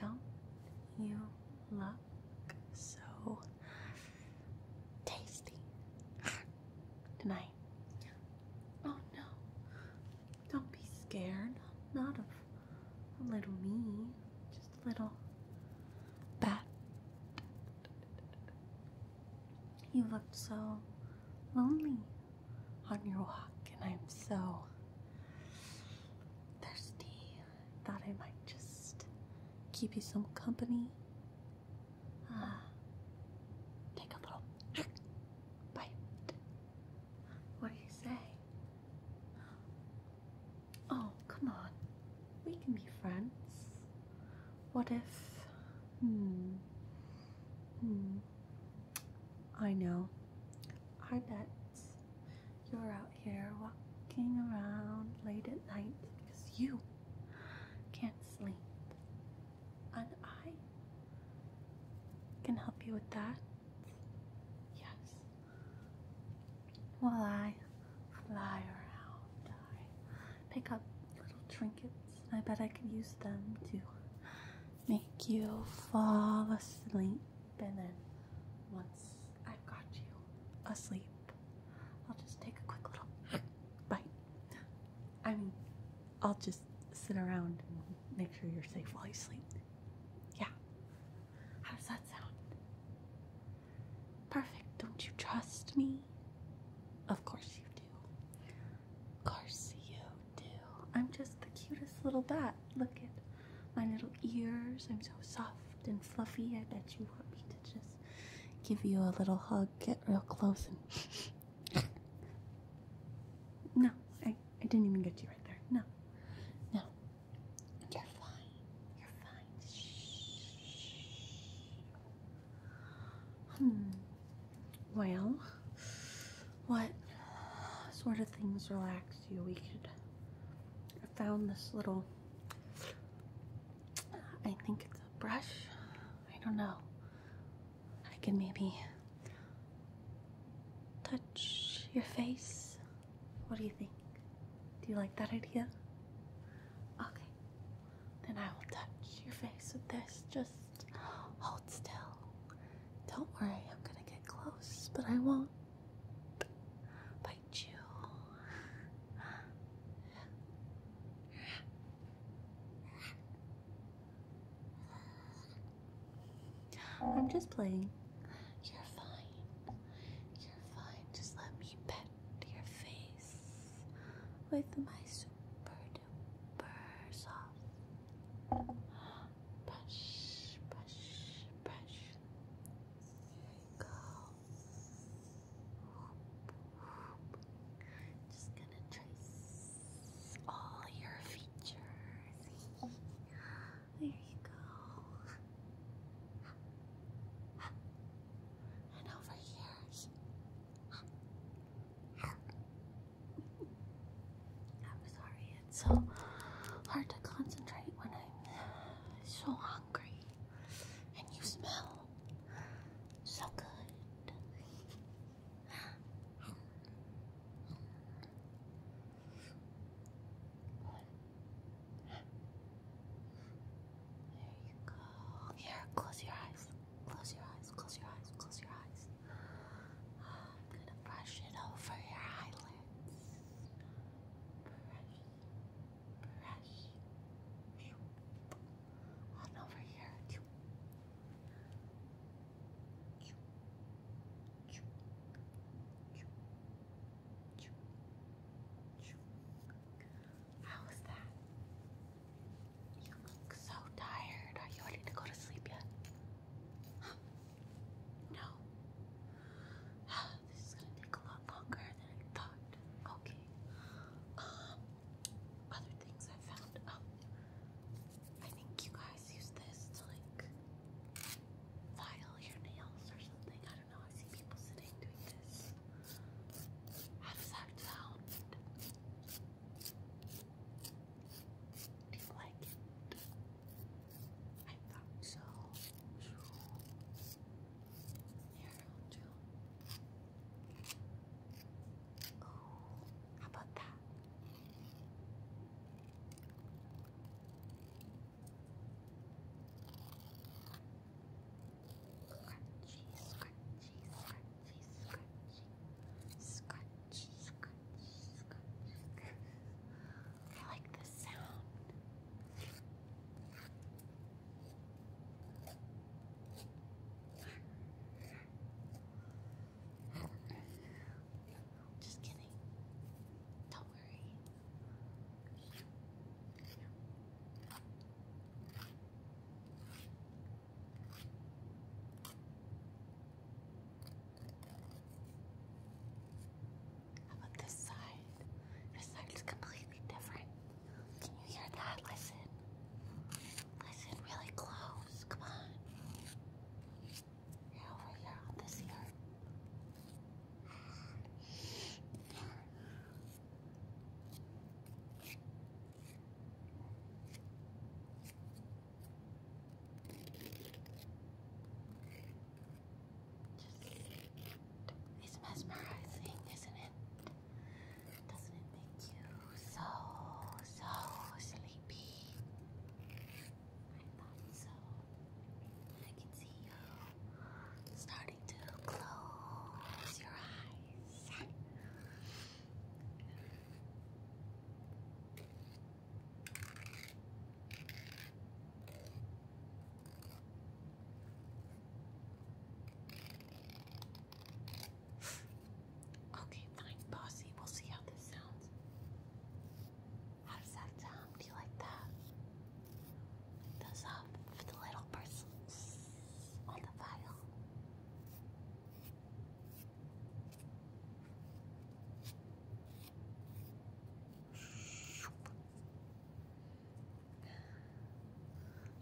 Don't you look so tasty tonight? Oh no, don't be scared. Not of a little me, just a little bat you looked so lonely on your walk, and I'm so thirsty. Thought I might just keep you some company. Uh, take a little bite. What do you say? Oh, come on. We can be friends. What if? Hmm. Hmm. I know. I bet you're out here walking around late at night because you can't sleep. And I can help you with that. Yes. While I fly around, pick up little trinkets. I bet I could use them to make you fall asleep. And then once I've got you asleep, I'll just take a quick little bite. I mean, I'll just sit around and make sure you're safe while you sleep. Yeah. How does that sound? Perfect. Don't you trust me? Of course you do. Of course you do. I'm just the cutest little bat. Look at my little ears. I'm so soft and fluffy. I bet you want me to just give you a little hug, get real close, and. no, I, I didn't even get you right there. No. No. You're fine. You're fine. Hmm. Well, what sort of things relax you? We could. I found this little. I think it's a brush. I don't know. I can maybe touch your face. What do you think? Do you like that idea? Okay. Then I will touch your face with this. Just hold still. Don't worry, I'm gonna get close, but I won't bite you. I'm just playing. You're fine. You're fine. Just let me pet to your face with my super duper soft brush, brush, brush. There you go. Just gonna trace all your features. there you go and over here. I'm sorry, it's so hard to concentrate when I'm so hungry and you smell so good. There you go. Here, close your eyes. Close your eyes. Close your eyes. Close your eyes. I'm gonna brush it over your eyelids. Brush, brush. On over here. How is that? You look so tired. Are you ready to go to sleep yet? No. This is gonna take a lot longer than I thought. Okay. Um, other things I found. Um, I think you guys use this to like file your nails or something. I don't don't know. How does that sound? Do you like it? I thought so. Here, how about that? Scrunchy, scrunchy, scrunchy, scrunchy. Scrunchy, scrunchy, scrunchy. I like the sound. Just kidding. Don't worry. How about this side? This side is completely different. Can you hear that? Listen. Listen really close. Come on. Yeah, over here on this ear. Just, it's mesmerizing, isn't it? Doesn't it make you so, so sleepy? I thought so. I can see you starting to close your eyes. Okay, fine, bossy. We'll see how this sounds. How that sound? Do you like that? those up for the little persons on the file.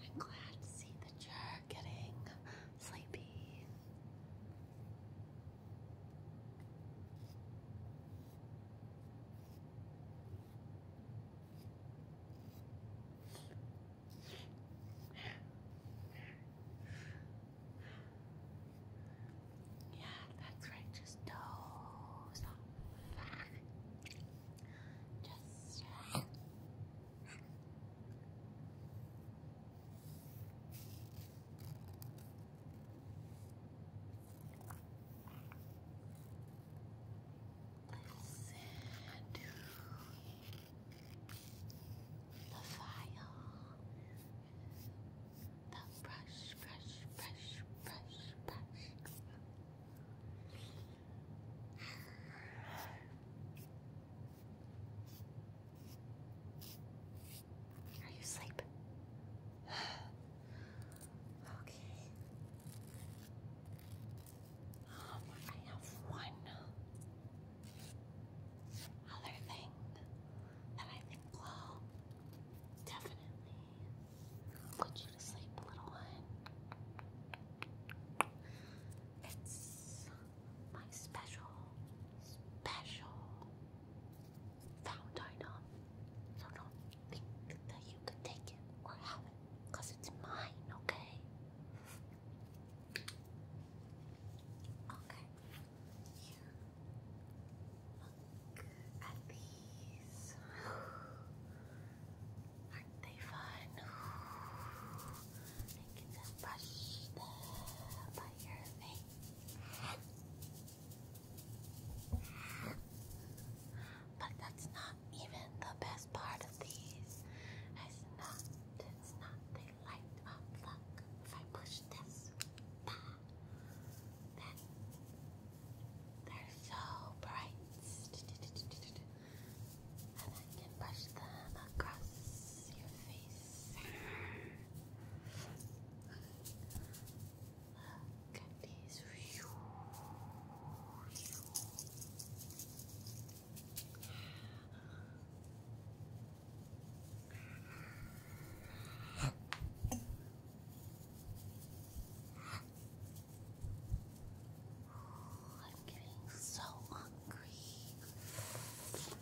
I'm glad to see that you're getting sleepy. Yeah, that's right. Just doze Just. Let's the file, the brush, brush, brush, brush, brush. Are you asleep? Okay. Um, I have one other thing that I think will definitely put you to sleep, little one. It's my special, special found item. So don't think that you could take it or have it, it's mine, okay? Okay. Look at these. Aren't they fun? I can just brush them by your face. But that's not even the best part of these. It's not, it's not, they light up. Look, if I push this, bah, then they're so bright. And I can brush them across your face. Look at I'm getting so hungry.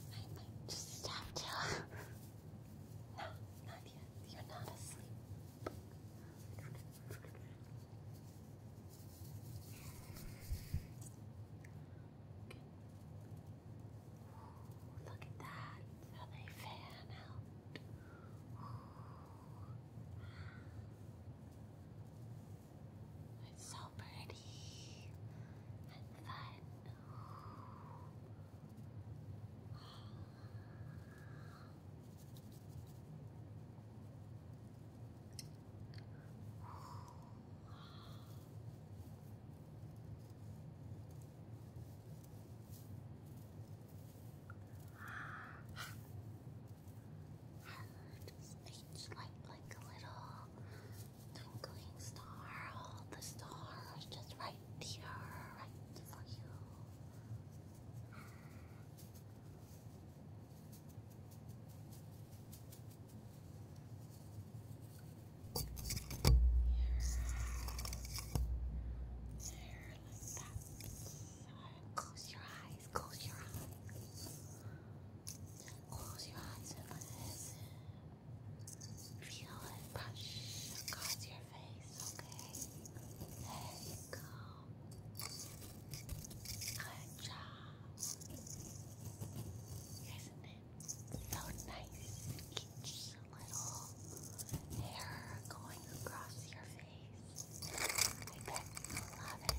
I might just have to. You're not asleep. look at that. How they fan out. It's so pretty and fun. Just each light like a little twinkling star, all the stars just right here, right for you. Here, here, like that. Close your eyes, close your eyes. Close your eyes Feel it brush across your face, okay? There you go. Good job. Isn't it so nice? Each little hair going across your face. I bet you love it.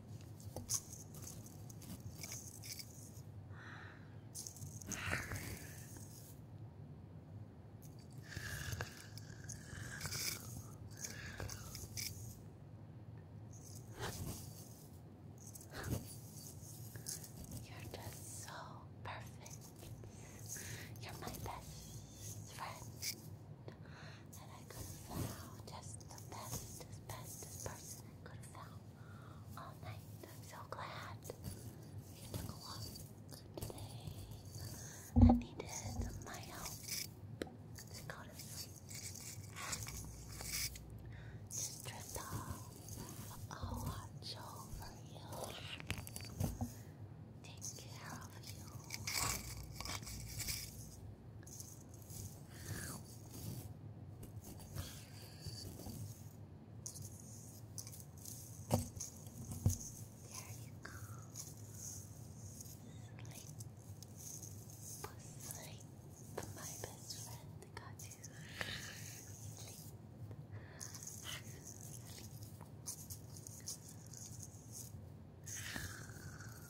You're just so perfect. You're my best friend that I could have found. Just the best, best person I could have found all night. I'm so glad you took a walk today and needed my help to go to sleep. Just drift watch over you. Take care of you you go. Sleep. Sleep. My best friend got you. Sleep. Sleep.